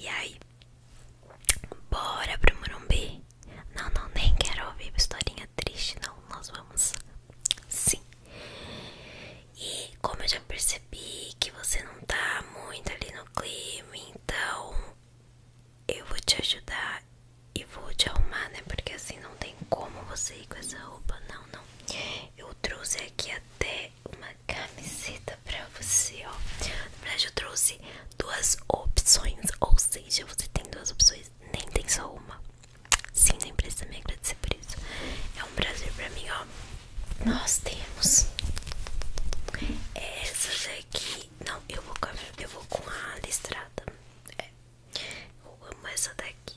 E aí? Bora pro Morumbi? Não, não, nem quero ouvir historinha triste, não. Nós vamos sim. E como eu já percebi que você não tá muito ali no clima, então eu vou te ajudar e vou te arrumar, né? Porque assim não tem como você ir com essa roupa, não, não. Eu trouxe aqui até uma camiseta pra você, ó. Na verdade, eu trouxe duas opções, ou seja, você tem duas opções, nem tem só uma. Sim, nem empresa me agradecer por isso. É um prazer pra mim, ó. Nós temos essa daqui. Não, eu vou com a, eu vou com a listrada. É. Eu amo essa daqui.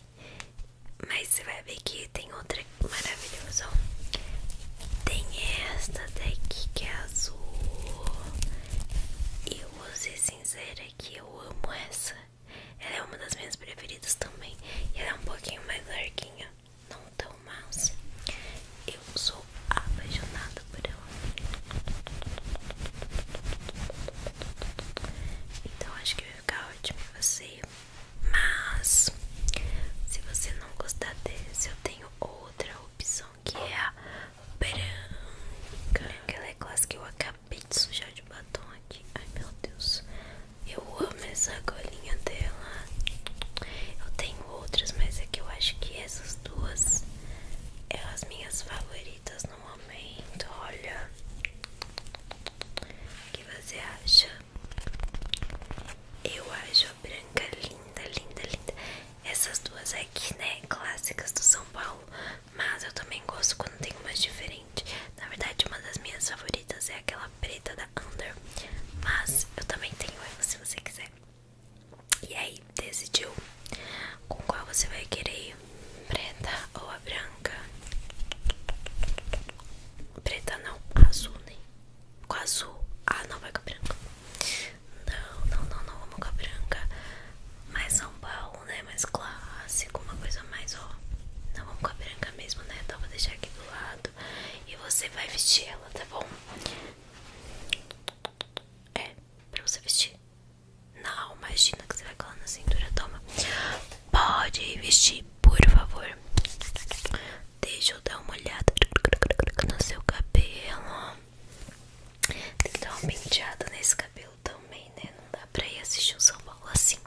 Mas você vai ver que tem outra maravilhosa. Tem esta daqui que é azul. Eu vou ser sincera que eu amo essa. Ela é uma das minhas preferidas também. E ela é um pouquinho mais larguinha, não tão mouse. Eu sou apaixonada por ela. Então acho que vai ficar ótimo você mas se você não gostar desse, eu tenho outra opção que é a branca. Aquela é classe que eu acabei de sujar de batom aqui. Ai meu Deus, eu amo essa colinha dela. Eu tenho outras, mas é que eu acho que essas duas é as minhas favoritas no momento. Olha, o que você acha? Eu acho a branca linda, linda, linda. Essas duas aqui, né? Clássicas do São Paulo. Mas eu também gosto quando tem umas diferentes. Na verdade, uma das minhas favoritas é aquela preta da Under. Mas eu também tenho ela se você quiser. E aí, decidiu com qual você vai querer Preta ou a branca? branca. Preta não, azul, nem Com azul. Ah, não, vai com a branca. Não, não, não, não, vamos com a branca. Mais São Paulo, né? Mais clássico, uma coisa mais, ó. Não, vamos com a branca mesmo, né? Então vou deixar aqui do lado. E você vai vestir ela, tá bom? É, pra você vestir. Não, imagina que você vai colar na cintura, toma. Pode vestir, por favor. Deixa eu dar uma olhada no seu cabelo. Tem que dar uma penteada nesse cabelo também, né? Não dá pra ir assistir o um São Paulo assim.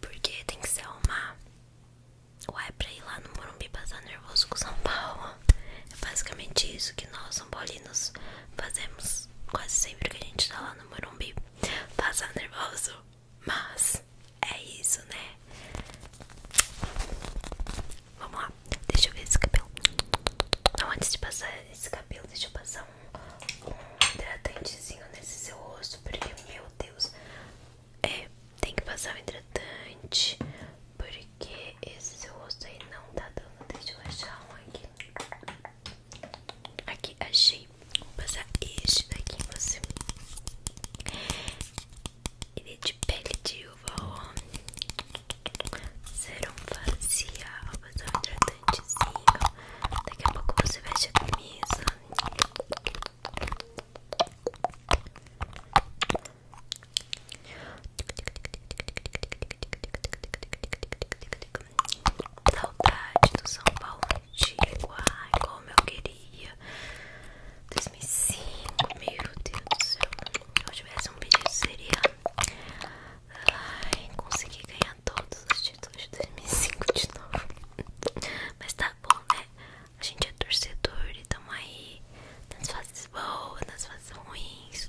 Porque tem que ser uma. Ou é pra ir lá no Morumbi passar nervoso com o São Paulo. É basicamente isso que nós, São Paulinos, fazemos quase sempre que a gente tá lá no Morumbi passar nervoso, mas é isso, né? Vamos lá, deixa eu ver esse cabelo. antes de passar esse cabelo, deixa eu passar um, hidratantezinho nesse seu rosto, porque, meu Deus, é, tem que passar um hidratante, porque esse seu rosto aí não tá dando. Deixa eu achar um aqui. Aqui, achei. Vou passar este daqui em você. Ele é de pele de uva, ó. Serum facial, vou passar um hidratantezinho. Daqui a pouco você veste a camisa. Saudade do São Paulo antigo. Ai, como eu queria. 2005, meu Deus do céu. Se eu tivesse um pedido, seria. Ai, consegui ganhar todos os títulos de 2005 de novo. Mas tá bom, né? A gente é torcedor e tamo aí nas fases boas, nas fases ruins.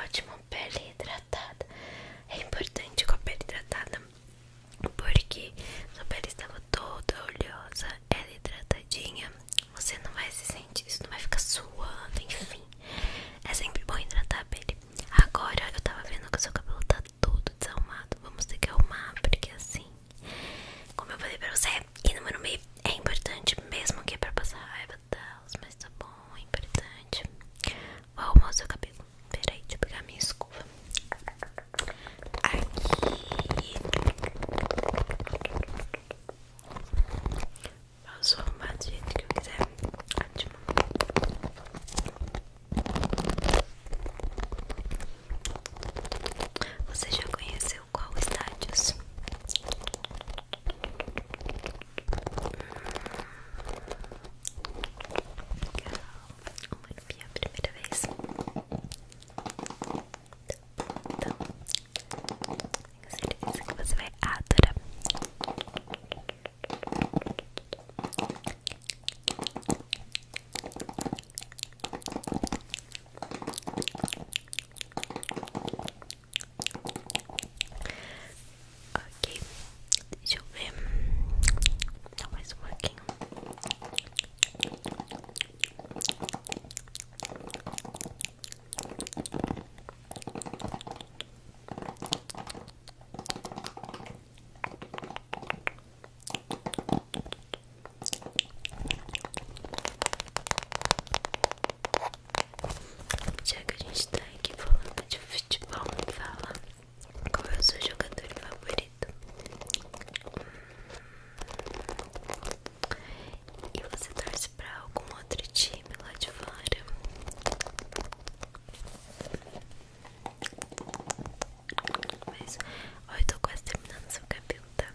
Ótimo, pele hidratada. É importante com a pele hidratada porque sua pele estava toda oleosa, ela é hidratadinha. Você não vai se sentir, isso não vai ficar suando, enfim. É sempre bom hidratar a pele. Agora eu tava vendo que o seu cabelo tá todo desarrumado. Vamos ter que arrumar, porque assim, como eu falei pra você, e não me meio é importante, mesmo que é pra passar raiva, tá? Mas tá bom importante. Vou arrumar o seu cabelo. Peraí, deixa eu pegar minha escova. Aqui. Posso arrumar do jeito que eu quiser. Ótimo. Você já conheceu qual estádios? Uma arpia a primeira vez. Tá então, tenho certeza que você vai adorar. Então, Ok, deixa eu ver. Dá mais um pouquinho. Já que a gente tá aqui falando de futebol, fala qual é o seu jogador favorito. E você torce pra algum outro time lá de fora? Mas, ó, eu tô quase terminando seu cabelo, tá?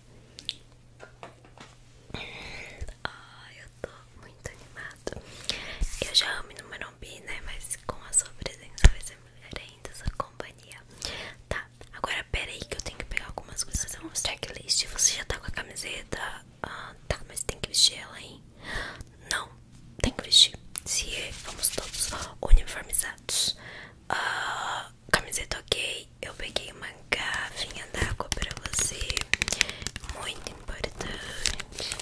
Ah, eu tô muito animada. Eu já amo no Morumbi, né? Mas com a sua presença vai ser melhor ainda, sua companhia. Tá, agora pera aí que eu tenho que pegar algumas coisas. eu vou Fazer um checklist. Você já tá com a camiseta? Ah, tá, mas tem que vestir ela, hein? Não, tem que vestir. Se vamos todos uniformizados. Ah, camiseta ok, eu peguei uma da água pra você, muito importante,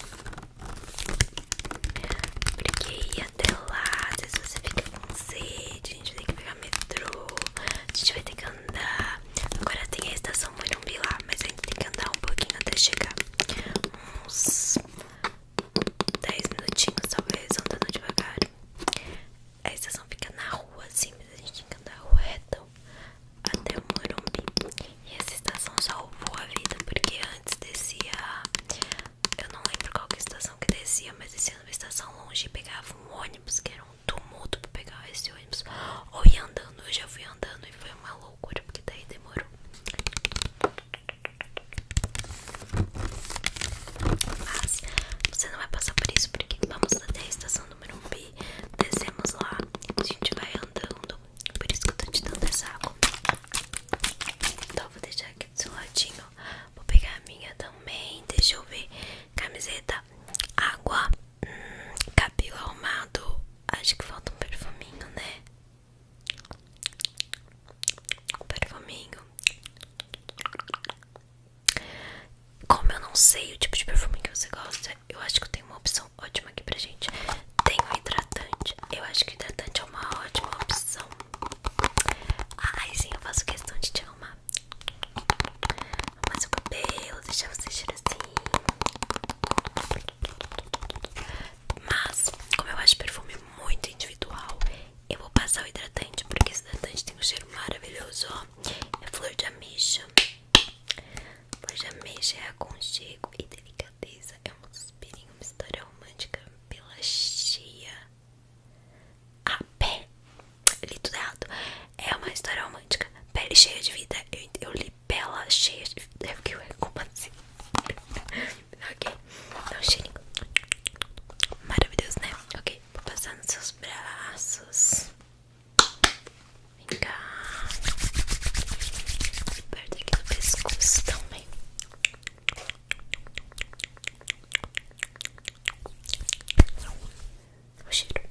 porque ir até lá, se você fica com sede, a gente vai ter que pegar metrô, a gente vai ter que andar, agora tem a estação Morumbi lá, mas a gente tem que andar um pouquinho até chegar, uns 10 minutinhos talvez, andando devagar. A estação fica na rua, assim, mas a gente tem que andar reto até o Morumbi. E essa estação salvou a vida, porque antes descia. Eu não lembro qual que é estação que descia, mas descia uma estação longe e pegava um ônibus, que era um tumulto pra pegar esse ônibus. Ou ia andando, eu já fui andando e foi uma loucura, porque daí demorou. Mas você não vai passar por isso porque vamos até a estação do Morumbi, descemos lá, a gente vai andando. Por isso que eu tô te dando essa água. Então vou deixar aqui do seu ladinho. Vou pegar a minha também. Deixa eu ver. Camiseta, água, hum, cabelo arrumado. Acho que falta um perfuminho, né? Um perfuminho. Como eu não sei o tipo de perfume que você gosta, eu acho que eu tenho uma opção ótima aqui pra gente. Tem o hidratante. Eu acho que o hidratante é uma ótima opção. Ai, sim, eu faço questão de te arrumar. Arrumar seu cabelo, deixar você assim. Mas, como eu acho perfume muito individual, eu vou passar o hidratante porque esse hidratante tem um cheiro maravilhoso, ó. É flor de ameixa. Flor de ameixa é aconchego e delicadeza. É um suspirinho, uma história romântica pela cheia A ah, pé. Eu li tudo errado. É uma história romântica. Pele cheia de vida. Eu, li pela cheia de vida. É porque eu é como assim. ok. Dá um cheirinho. Maravilhoso, né? Ok, vou passar nos seus braços. Vem cá. Perto aqui no pescoço também. O cheiro.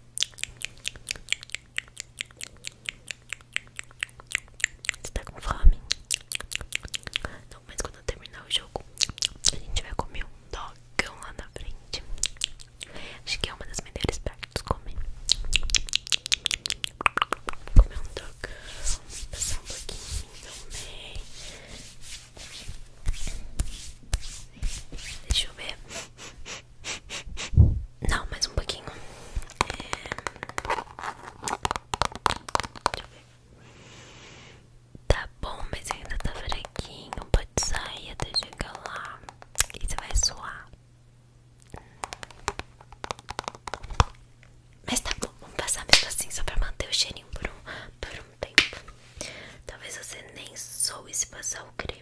Você tá com fome? Então, mas quando eu terminar o jogo, a gente vai comer um dogão lá na frente. Acho que é uma das melhores partes comer. Comer um dogão, passar um pouquinho também. Deixa eu ver. Não, mais um pouquinho. É. Deixa eu ver. Tá bom, mas ainda tá fraquinho. Pode sair até chegar lá. E você vai suar. Mas tá bom, vamos passar mesmo assim, só pra manter o cheirinho por um, tempo. Talvez você nem soe se passar o creme.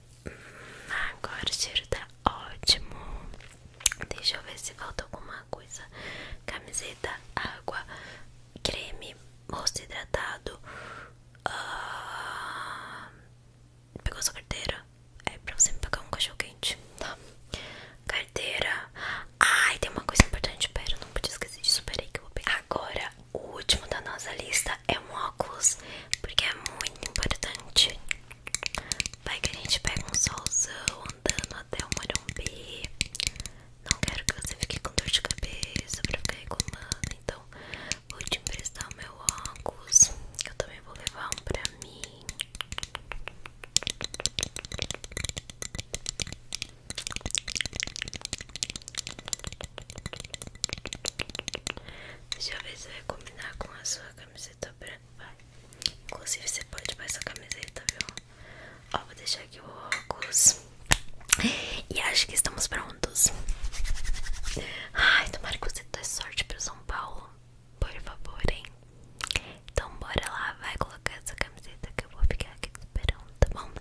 Agora o cheiro tá ótimo. Deixa eu ver se falta alguma coisa. Camiseta, água, creme, rosto hidratado. Ah, pegou sua carteira? É pra você me pagar um cachorro quente, tá. Carteira. Ai, tem uma coisa importante. Pera, não podia esquecer disso. Peraí que eu vou pegar. Agora, o último da nossa lista é um óculos, porque é muito importante. Vai que a gente pega um solzão andando até o Morumbi. Não quero que você fique com dor de cabeça pra ficar reclamando. Então, vou te emprestar o meu óculos. Eu também vou levar um pra mim. Deixa eu ver se vai combinar com a sua camiseta branca. Vai. Inclusive, você pode passar a camiseta, viu? Ó, vou deixar aqui o óculos. E acho que estamos prontos. Ai, tomara que você dê sorte pro São Paulo. Por favor, hein? Então, bora lá. Vai colocar essa camiseta que eu vou ficar aqui esperando, tá bom?